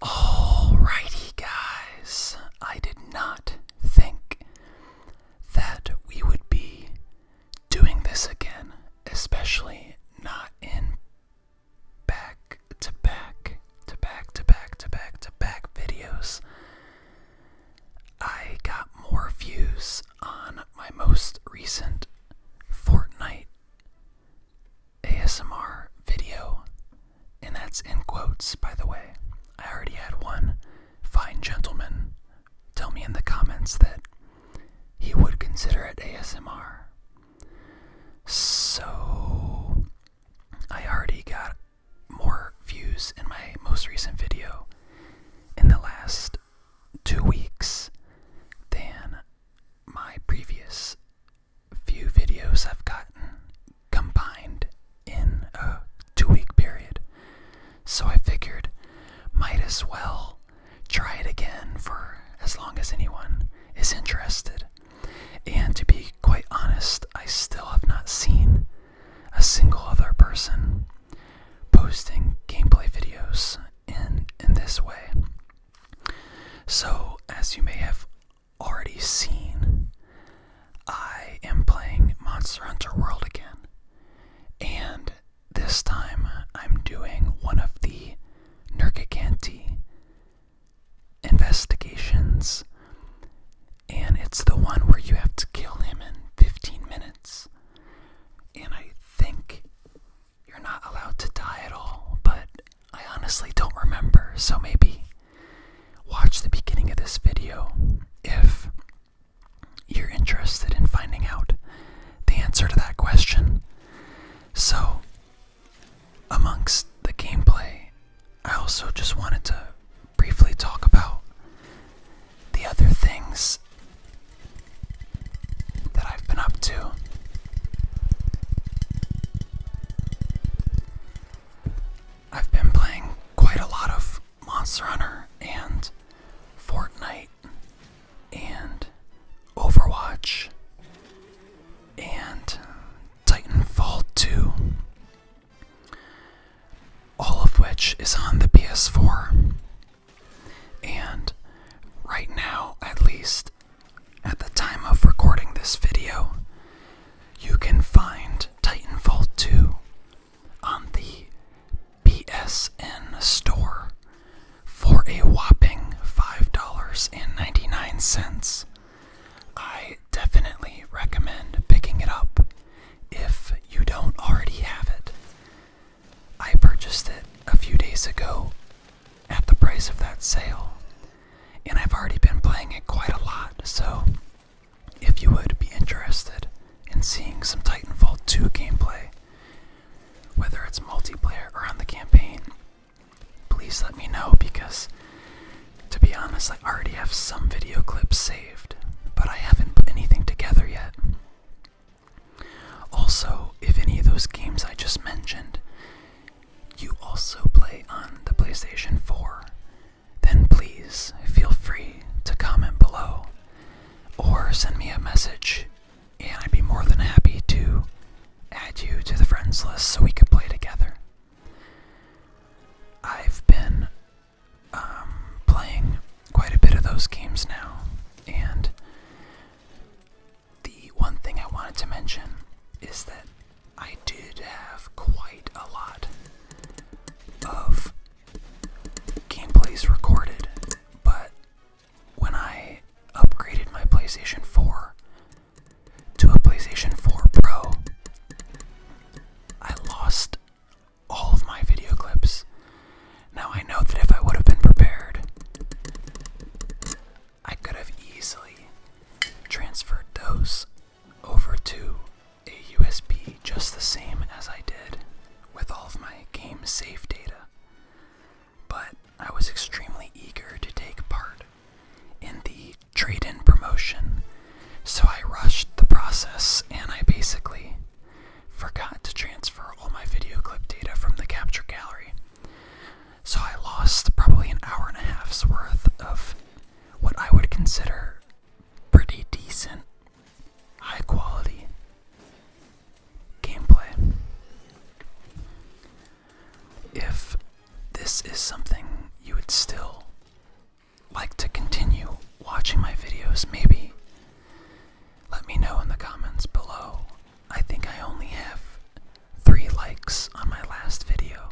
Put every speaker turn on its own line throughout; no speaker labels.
Alrighty, guys. I did not think that we would be doing this again, especially not in back to back to back to back to back to back videos. I got more views on my most recent Fortnite ASMR video, and that's in quotes, by the way. I already had one fine gentleman tell me in the comments that he would consider it ASMR. So, I already got more views in my most recent video in the last two weeks than my previous few videos I've gotten combined in a two week period. So I figured, might as well try it again for as long as anyone is interested. And to be quite honest, I still have not seen a single other person posting gameplay videos in in this way. So, as you may have already seen, I am playing Monster Hunter World again. And this time I'm doing one of the Nergiganti investigations. And it's the one where you have to kill him in 15 minutes. And I think you're not allowed to die at all, but I honestly don't remember, so maybe watch the beginning of this video if you're interested in finding out the answer to that question. So, amongst the gameplay, I also just wanted to briefly talk about the other things that I've been up to. I've been playing quite a lot of Monster Hunter and Fortnite and Overwatch and Titanfall 2, all of which is on the PS4 and right now, at least at the time of recording this video, you can find Titanfall 2 on the PSN store for a whopping $5.99. I definitely recommend picking it up if you don't already have it. I purchased it a few days ago at the price of that sale, and I've already been playing it quite a lot, so if you would be interested in seeing some Titanfall 2 gameplay, whether it's multiplayer or on the campaign, please let me know because to be honest, I already have some video clips saved, but I haven't put anything together yet. Also, if any of those games I just mentioned you also play on the PlayStation 4, then please feel free to comment below or send me a message, and I'd be more than happy to add you to the friends list so we could play together. I've been um, playing quite a bit of those games now, and the one thing I wanted to mention is that I did have quite a lot of gameplays recorded, but when I upgraded my PlayStation 4 to a PlayStation 4 Pro, I lost all of my video clips. Now I know that if I would have been prepared, I could have easily transferred those over to a USB just the same as I did with all of my game save data. But I was extremely eager to take part in the trade in promotion, so I rushed the process and I basically forgot to transfer all my video clip data from the capture gallery. So I lost probably an hour and a half's worth of what I would consider pretty decent, high quality gameplay. If this is something you would still like to continue watching my videos, maybe let me know in the comments below. I think I only have three likes on my last video,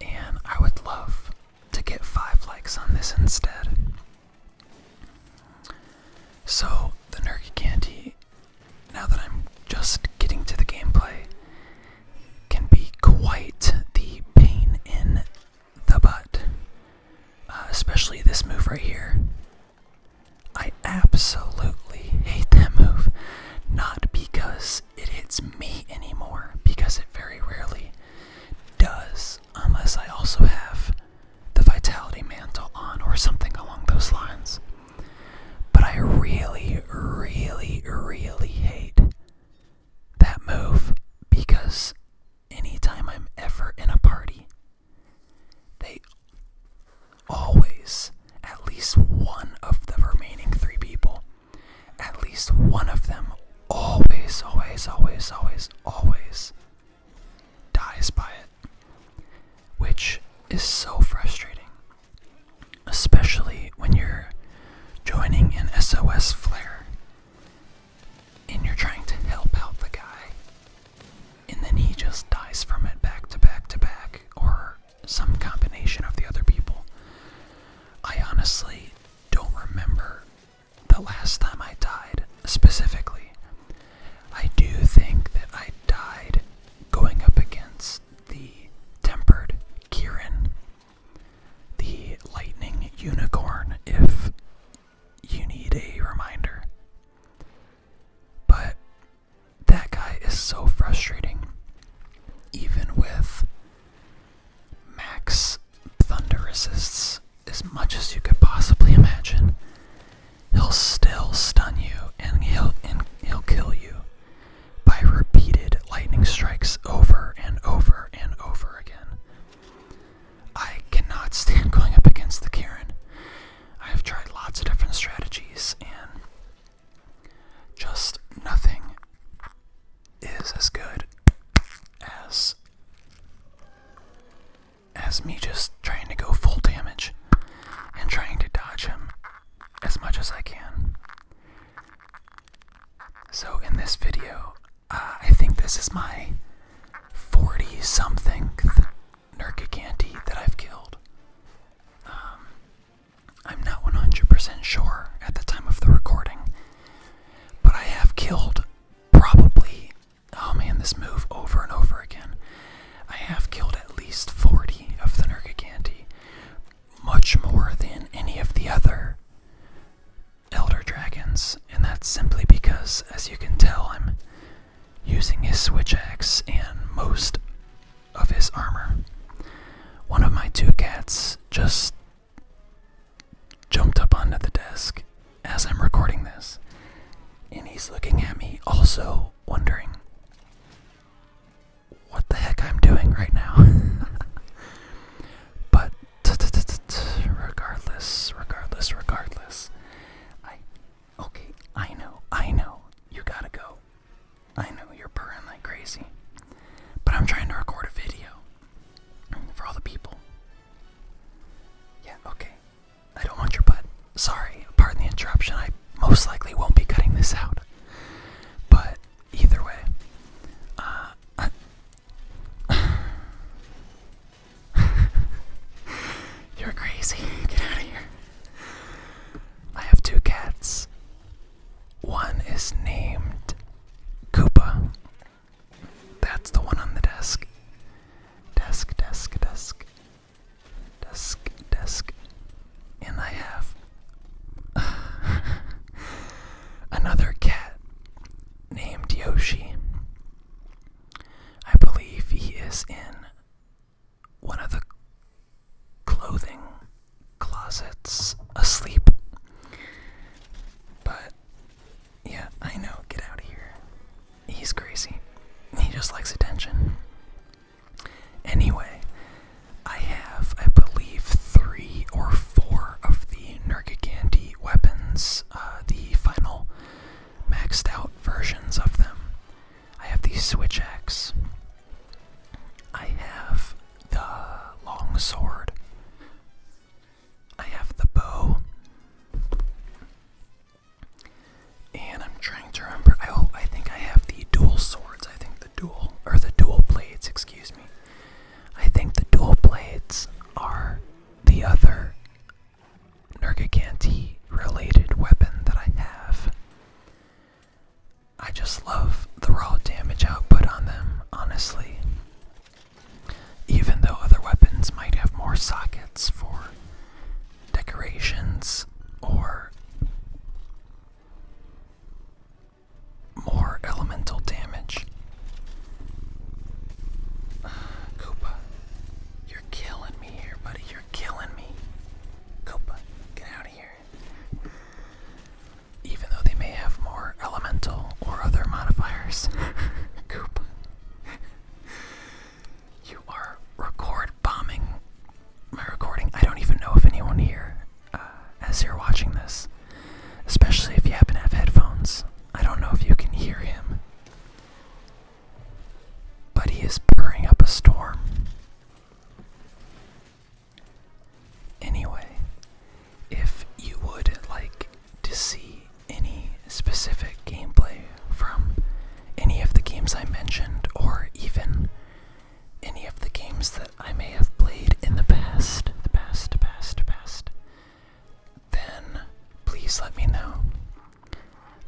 and I would love to get five likes on this instead. So, the Nerky Candy, now that I'm just getting to the gameplay, can be quite the pain in the butt. Uh, especially this move right here. I absolutely hate that move. Not because it hits me anymore, because it very rarely does, unless I also have the Vitality Mantle on or something along those lines. But I really, really, really hate that move because anytime I'm ever in a party, they always, at least one of the remaining three people, at least one of them always, always, always, always, always dies by it. Which is so frustrating. Especially when you're joining an SOS flare and you're trying to help out the guy, and then he just dies from it back to back to back, or some combination of the other people. I honestly don't remember the last time I died specifically. I do think that I died going up against the tempered Kieran the Lightning Unicorn, if you need a reminder. But that guy is so frustrating. Even with max thunder assists as much as you could possibly imagine, he'll still stun you and he'll and he'll kill you by repeated lightning strikes over and over and over again. I cannot stand going up against the Karen. I have tried lots of different strategies and just nothing is as good as as me just trying to go full damage and trying to dodge him as much as I can. So, in this video, uh, I think this is my 40 something Nerkicanti that I've killed. Um, I'm not 100% sure at the time of the recording, but I have killed probably. Oh man, this move over and over again. I have killed at least 40 of the Nerkicanti, much more than any of the other elder dragons, and that's simply because, as you can tell, I'm using his switch axe and most of his armor. One of my two cats just jumped up onto the desk as I'm recording this, and he's looking at me, also wondering what the heck I'm doing right now. but regardless, regardless, regardless, I. Okay, I know, I know, you gotta go. I know you're purring like crazy. But I'm trying to record a video for all the people. Yeah, okay. I don't want your butt. Sorry, pardon the interruption. I most likely won't be cutting this out. But either way, uh, You're crazy. Get out of here. I have two cats. One is named Koopa. That's the one on the desk. Desk, desk, desk desk, desk, and I have another cat named Yoshi. I believe he is in one of the clothing closets asleep. But yeah, I know, get out of here. He's crazy. He just likes attention. Anyway, I have, I believe, three or four of the Nergigante weapons, uh, the final maxed out versions of them. I have the switch axe. I have the long sword. I have the bow. And I'm trying to remember. I oh, hope I think I have the dual swords. I think the dual or the dual blades, excuse me. I think the dual blades are the other Nergiganti related weapon that I have. I just love the raw damage output on them, honestly. Even though other weapons might have more sockets for decorations or more elemental damage. Koopa, you're killing me here, buddy. You're killing me. Koopa, get out of here. Even though they may have more elemental or other modifiers. Koopa. You are record bombing my recording. I don't even know if anyone here, as uh, you're watching this, especially if you happen to have headphones, I don't know if you can hear him. But he is purring up a storm. Anyway, if you would like to see any specific gameplay from any of the games I mentioned, or even any of the games that I may have played in the past, past, past, past, then please let me know.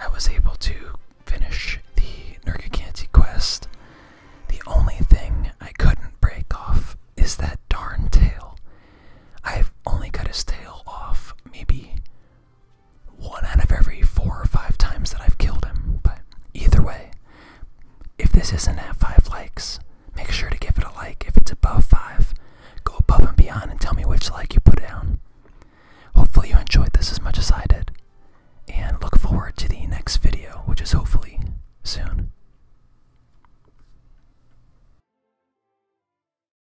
I was able to finish the Nergacanti quest. The only thing I couldn't break off is that darn tail. I've only got his tail off maybe one out of every four or five times that I've killed him. But either way, if this isn't at five likes, make sure to give it a like. If it's above five, go above and beyond and tell me which like you put down. Hopefully, you enjoyed this as much as I did, and look forward to the next video, which is hopefully soon.